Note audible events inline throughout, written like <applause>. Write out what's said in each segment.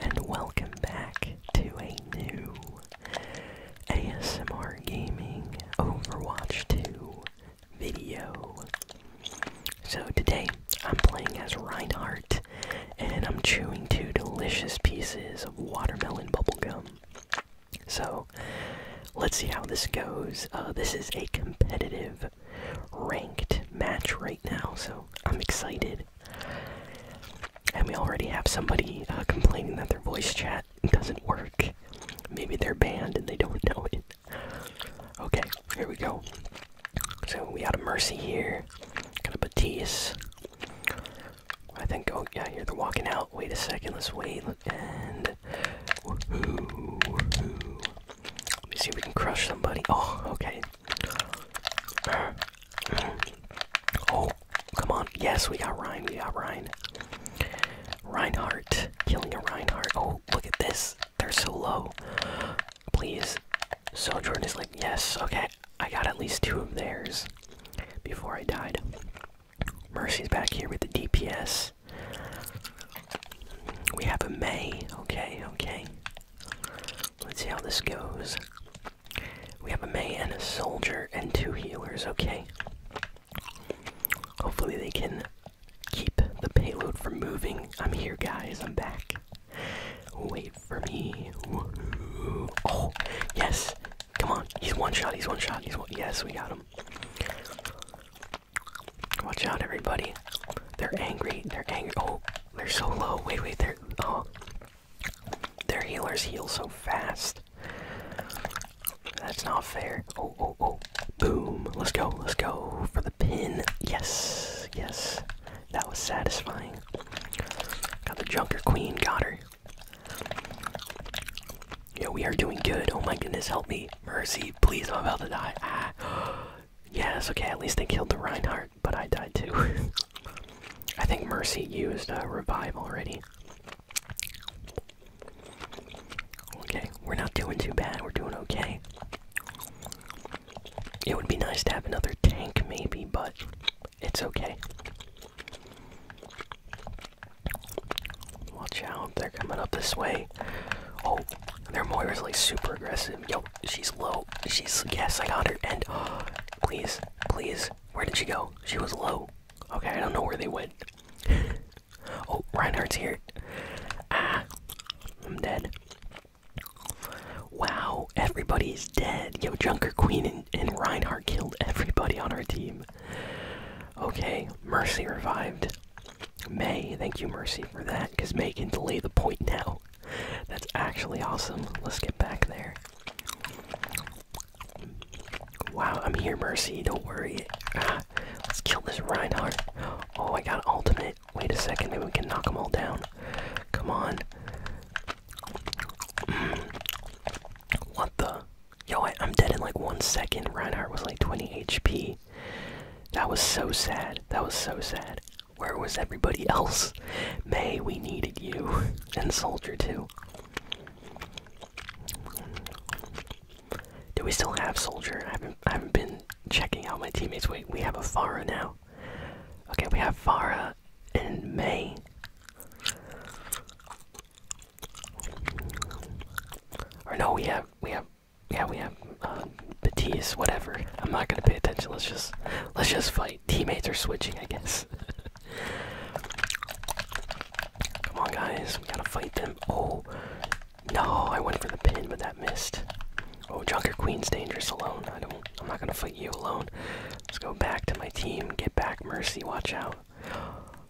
and welcome back to a new ASMR Gaming Overwatch 2 video. So today I'm playing as Reinhardt and I'm chewing two delicious pieces of watermelon bubblegum. So let's see how this goes. Uh, this is a competitive ranked match right now, so I'm excited. And we already have somebody uh, complaining that their voice chat doesn't work. Maybe they're banned and they don't <laughs> know it. Okay, here we go. So we out of Mercy here, got a Batiste. I think, oh yeah, here they're walking out. Wait a second, let's wait. And. Let us see if we can crush somebody. Oh, okay. <clears throat> Oh, come on. Yes, we got Ryan. We got Ryan. Reinhardt. Killing a Reinhardt. Oh, look at this. They're so low. Please. So Jordan is like, yes, okay. I got at least two of theirs before I died. Mercy's back here with the DPS. We have a May. Okay, okay. Let's see how this goes. We have a May and a soldier and two healers, okay. Hopefully they can keep the payload from moving. I'm here guys, I'm back. Wait for me. oh, yes. Come on. He's one shot, he's one shot, he's one yes, we got him. Watch out everybody. They're angry. They're angry. Oh, they're so low. Wait, wait, they're oh their healers heal so fast. That's not fair. Oh, oh, oh. Boom. Let's go. Let's go for the pin. Yes. Yes. That was satisfying. Got the Junker Queen. Got her. Yeah, we are doing good. Oh my goodness. Help me. Mercy. Please, I'm about to die. Ah. <gasps> Yes, okay, at least they killed the Reinhardt, but I died too. <laughs> I think Mercy used a uh, Revive already. Okay, we're not doing too bad, we're doing okay. It would be nice to have another tank, maybe, but it's okay. Watch out, they're coming up this way. Oh, their Moira's like super aggressive. Yo, she's low. She's, yes, I got her. And, oh, <gasps> please, Please. Where did she go? She was low. Okay, I don't know where they went. <laughs> oh, Reinhardt's here. Ah, I'm dead. Wow, everybody's dead. Yo, Junker Queen and, and Reinhardt killed everybody on our team. Okay, Mercy revived. May, thank you, Mercy, for that, because May can delay the point now. That's actually awesome. Let's get back there. Wow, I'm here, Mercy. Don't worry. Ah, let's kill this Reinhardt. Oh, I got ultimate. Wait a second. Maybe we can knock them all down. Come on. Mm. What the? Yo, I'm dead in like one second. Reinhardt was like 20 HP. That was so sad. That was so sad. Where was everybody else? May, we needed you. And Soldier, too. Do we still have Soldier? I haven't, I haven't been checking out my teammates. Wait, we have a Farah now. Okay, we have Farah and May. Or no, we have, we have, yeah, we have, uh, Batiste, whatever. I'm not gonna pay attention. Let's just, let's just fight teammates are switching, I guess. <laughs> Come on, guys, we gotta fight them. Oh, no, I went for the pin, but that missed. Oh, Junker Queen's dangerous alone. I don't. I'm not gonna fight you alone. Let's go back to my team. Get back, Mercy. Watch out.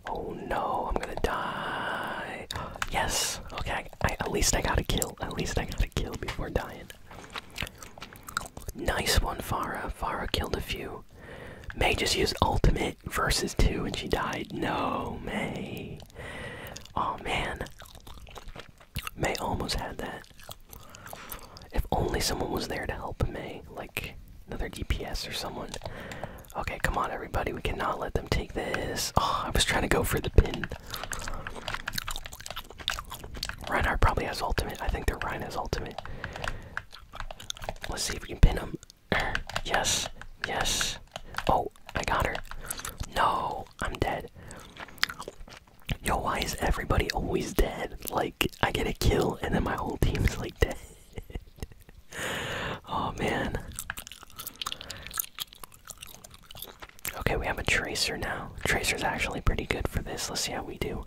Oh no, I'm gonna die. Yes. Okay. at least I got a kill. At least I got a kill before dying. Nice one, Farah. Farah killed a few. May just used ultimate versus two and she died. No, May. Oh man. May almost had that. If only someone was there to help May, like another DPS or someone. Okay, come on everybody, we cannot let them take this. Oh, I was trying to go for the pin. Reinhardt probably has ultimate. I think the Rhine has ultimate. Let's see if we can pin him. <clears throat> yes. Yes. Oh, I got her. No, I'm dead. Yo, why is everybody always dead? Like, I get a kill and then my whole team is like <laughs> dead. oh man. Okay, we have a Tracer now. Tracer's actually pretty good for this. Let's see how we do.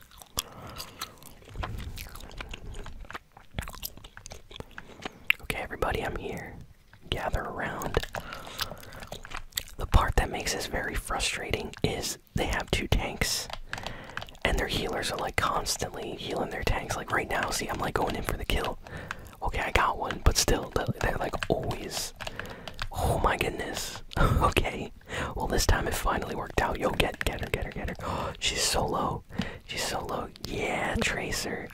Okay, everybody, I'm here. Gather around. The part that makes this very frustrating is they have two tanks, and their healers are like constantly healing their tanks. Like right now, see, I'm like going in for the kill. Okay, I got one, but still, they're like always. Oh my goodness. <laughs> okay. Well, this time it finally worked out. Yo, get, get her, get her, get her. <gasps> she's so low. She's so low. Yeah, Tracer.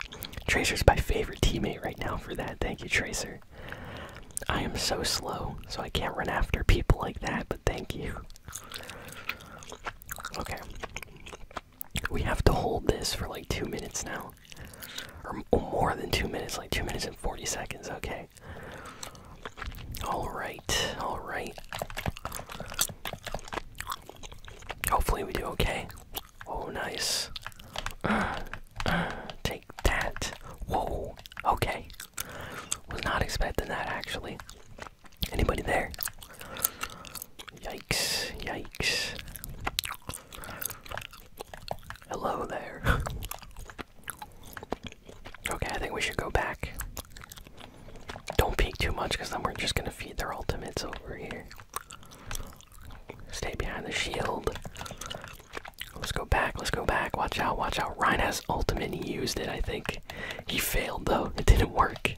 Tracer's my favorite teammate right now for that. Thank you, Tracer. I am so slow, so I can't run after people like that, but thank you. Okay. We have to hold this for like two minutes now. Or more than two minutes, like two minutes and 40 seconds. Okay, Alright, alright. Hopefully, we do okay. Oh, nice. <clears throat> take that. Whoa, okay. Was not expecting that actually. Anybody there? Yikes, yikes. Hello there. <laughs> Okay, I think we should go back. Don't peek too much because then we're just gonna feed their ultimates over here. Stay behind the shield. Let's go back, let's go back. Watch out, watch out. Ryan has ultimate, he used it, I think. He failed though, it didn't work.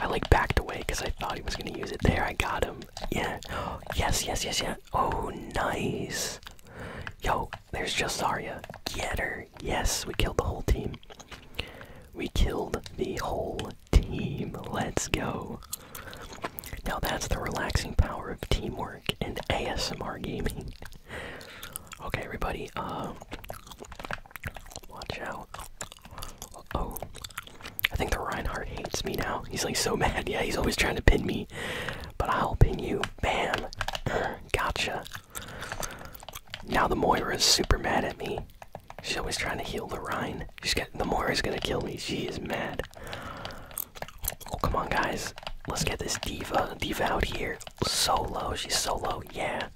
I like backed away because I thought he was gonna use it there. I got him. Yeah. <gasps> Yes, yes, yes, yeah. Oh, nice. Yo, there's Jasaria. Get her. Yes, we killed the whole team. We killed the whole team. Let's go. Now that's the relaxing power of teamwork and ASMR gaming. Okay, everybody. Uh, watch out. oh. I think the Reinhardt hates me now. He's like so <laughs> mad. Yeah, he's always trying to pin me. But I'll pin you. Bam. gotcha. Now the Moira is super mad at me. She's always trying to heal the Rhine. She's got the Moira's gonna kill me. She is mad. Oh come on guys. Let's get this diva diva out here. Solo. She's solo. Yeah.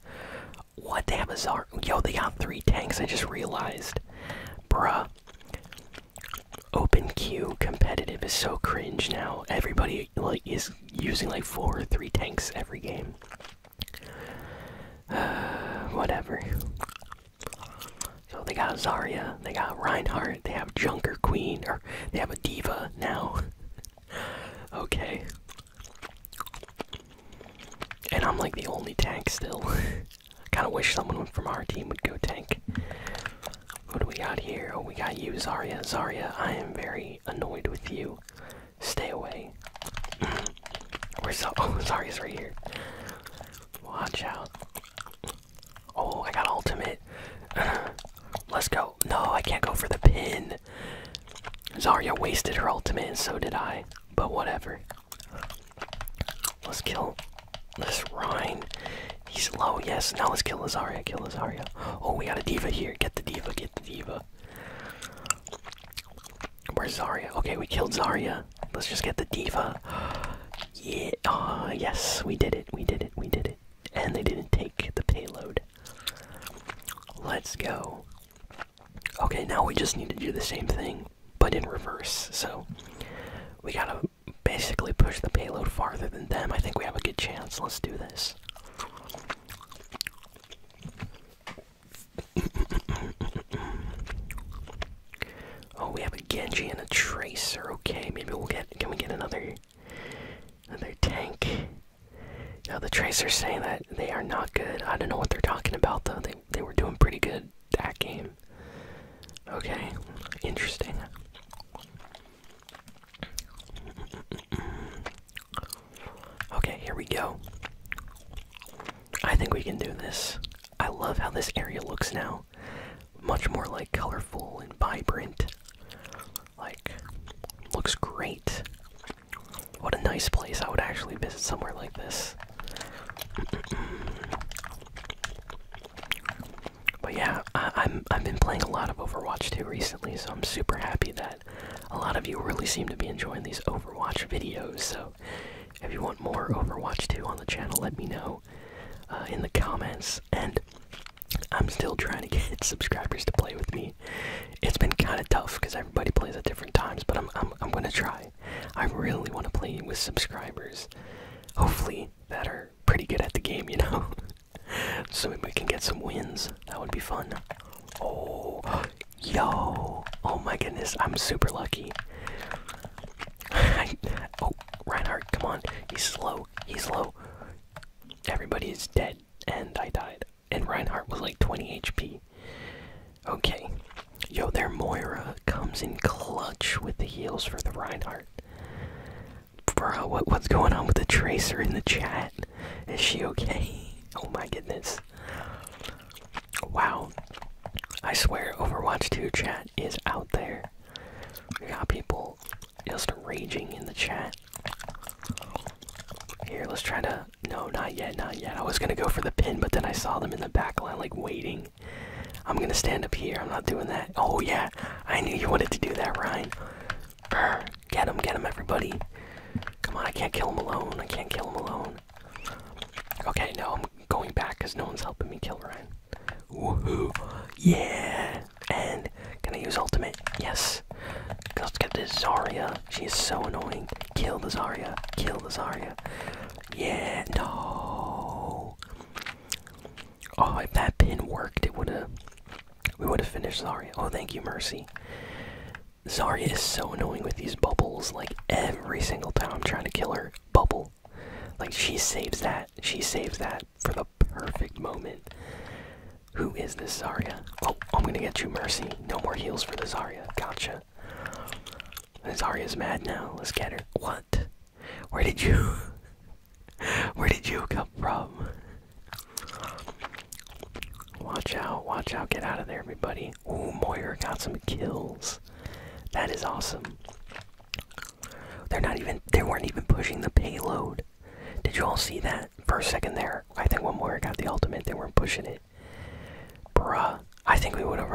What damn bizarre. Yo, they got three tanks, I just realized. Bruh. Open queue competitive is so cringe now. Everybody like is using like four or three tanks every game. <sighs> whatever. So they got Zarya, they got Reinhardt, they have Junker Queen, or they have a Diva now. <laughs> okay. And I'm like the only tank still. <laughs> I kind of wish someone from our team would go tank. What do we got here? Oh, we got you, Zarya. Zarya, I am very annoyed with you. Stay away. <clears throat> Where's so <laughs> Oh, Zarya's right here. Watch out. Oh, I got ultimate. <clears throat> Let's go. No, I can't go for the pin. Zarya wasted her ultimate, and so did I. But whatever. Let's kill this Rhine. He's low, yes. Now let's kill Lazaria, kill Lazaria. Oh, we got a diva here. Get the diva, get the diva. Where's Zarya? Okay, we killed Zarya. Let's just get the diva. Yeah, uh, yes, we did it, we did it, we did it. And they didn't take the payload. Let's go. Okay, now we just need to do the same thing, but in reverse. So, we gotta basically push the payload farther than them, I think we have a good chance. Let's do this. <laughs> oh, we have a Genji and a Tracer. Okay, maybe we'll get. Can we get another, another tank? Now the Tracer's saying that they are not good. I don't know what they're talking about though they, were doing pretty good that game. Okay, interesting. Okay, here we go. I think we can do this. I love how this area looks now. Much more like colorful and vibrant. Like, looks great. What a nice place. I would actually visit somewhere like this. But yeah, I, am I've been playing a lot of Overwatch too recently, so I'm super happy that a lot of you really seem to be enjoying these Overwatch videos. So if you want more Overwatch too on the channel, let me know uh, in the comments. And I'm still trying to get <laughs> subscribers to play with me. It's been kind of tough because everybody plays at different times, but I'm I'm I'm gonna try. I really want to play with subscribers, hopefully, that are pretty good at the game, you know? <laughs> so we can get some wins. That would be fun. Oh, yo! Oh my goodness, I'm super lucky. <laughs> oh, Reinhardt, come on. He's slow. He's slow. Everybody is dead, and I died. And Reinhardt was like 20 HP. Okay, Yo, their Moira comes in clutch with the heels for the Reinhardt. Bro, what, what's going on with the Tracer in the chat? Is she okay? <laughs> Oh my goodness. Wow. I swear, Overwatch 2 chat is out there. We got people just raging in the chat. Here, let's try to. No, not yet, not yet. I was gonna go for the pin, but then I saw them in the back line, like waiting. I'm gonna stand up here. I'm not doing that. Oh yeah, I knew you wanted to do that, Ryan. get him, get him, everybody. Come on, I can't kill him alone. I can't kill him alone. Okay, no, I'm going back because no one's helping me kill Ryan. Woohoo! Yeah, and can I use ultimate? Yes. Let's get this Zarya. She is so annoying. Kill the Zarya. Kill the Zarya. Yeah. No. Oh, if that pin worked, it would have. We would have finished Zarya. Oh, thank you, Mercy. Zarya is so annoying with these bubbles. Like every single time I'm trying to kill her, bubble. Like she saves that. She saves that for the perfect moment. Who is this Zarya? Oh, I'm gonna get you, Mercy. No more heals for the Zarya. Gotcha. Zarya's mad now. Let's get her. What? Where did you <laughs> Where did you come from? Watch out, watch out, get out of there everybody. Oh, Moir got some kills. That is awesome. They're not even they weren't even pushing the payload. Did you all see that First second there? I think when Moyer got the ultimate, they weren't pushing it. Bruh, I think we would have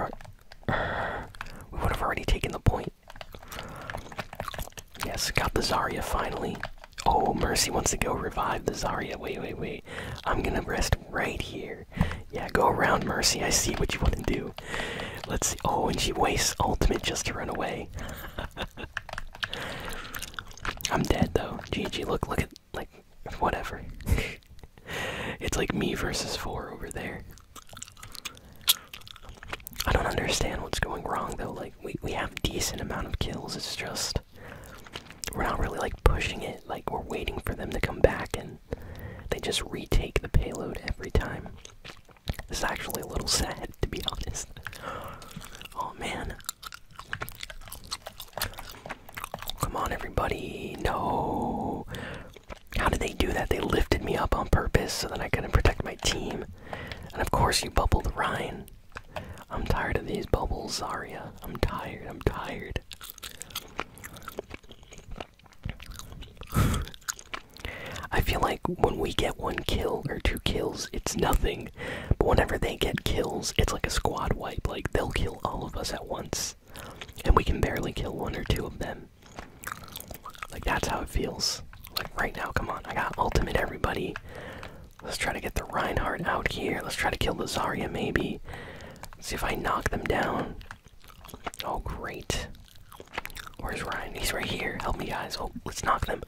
we would have already taken the point. Yes, got the Zarya finally. Oh, Mercy wants to go revive the Zarya. Wait, wait, wait. I'm gonna rest right here. Yeah, go around, Mercy. I see what you want to do. Let's see. Oh, and she wastes ultimate just to run away. <laughs> I'm dead though. GG. Look, look at like whatever. <laughs> it's like me versus four over there. I don't understand what's going wrong though. Like we we have decent amount of kills. It's just we're not really like pushing it. Like we're waiting for them to come back and they just retake the payload every time. It's actually a little <laughs> sad to be honest. Oh man. Come on everybody. No. How did they do that? They lifted me up on purpose so that I couldn't protect my team. And of course, you bubble the Ryan. I'm tired of these bubbles, Zarya. I'm tired. I'm tired. I feel like when we get one kill or two kills, it's nothing. But whenever they get kills, it's like a squad wipe. Like, they'll kill all of us at once and we can barely kill one or two of them. Like, that's how it feels. Like, right now, come on, I got ultimate everybody. Let's try to get the Reinhardt out here. Let's try to kill the Zarya, maybe. see if I knock them down. Oh, great. Where's Ryan? He's right here. Help me, guys. Oh, let's knock them.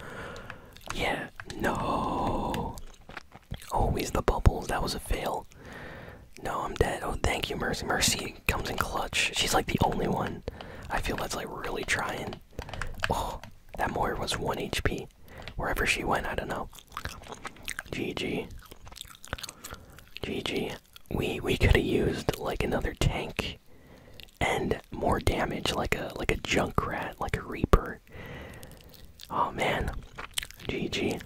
Yeah. No. Oh, he's the bubbles. That was a fail. No, I'm dead. Oh, thank you, Mercy. Mercy comes in clutch. She's like the only one. I feel that's like really trying. Oh, that Moir was 1 HP. Wherever she went, I don't know. GG. GG. We we could have used like another tank and more damage like a like a junk rat, like a reaper. Oh man. GG.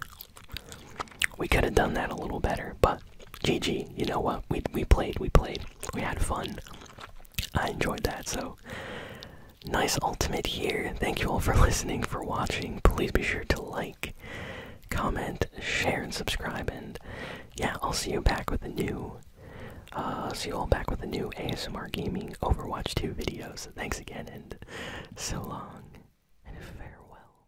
We could have done that a little better, but GG. You know what? We we played. We played. We had fun. I enjoyed that. So nice ultimate here. Thank you all for <laughs> listening, for watching. Please be sure to like, comment, share, and subscribe. And yeah, I'll see you back with a new. Uh, see you all back with a new ASMR Gaming Overwatch 2 videos. thanks again, and so long, and farewell.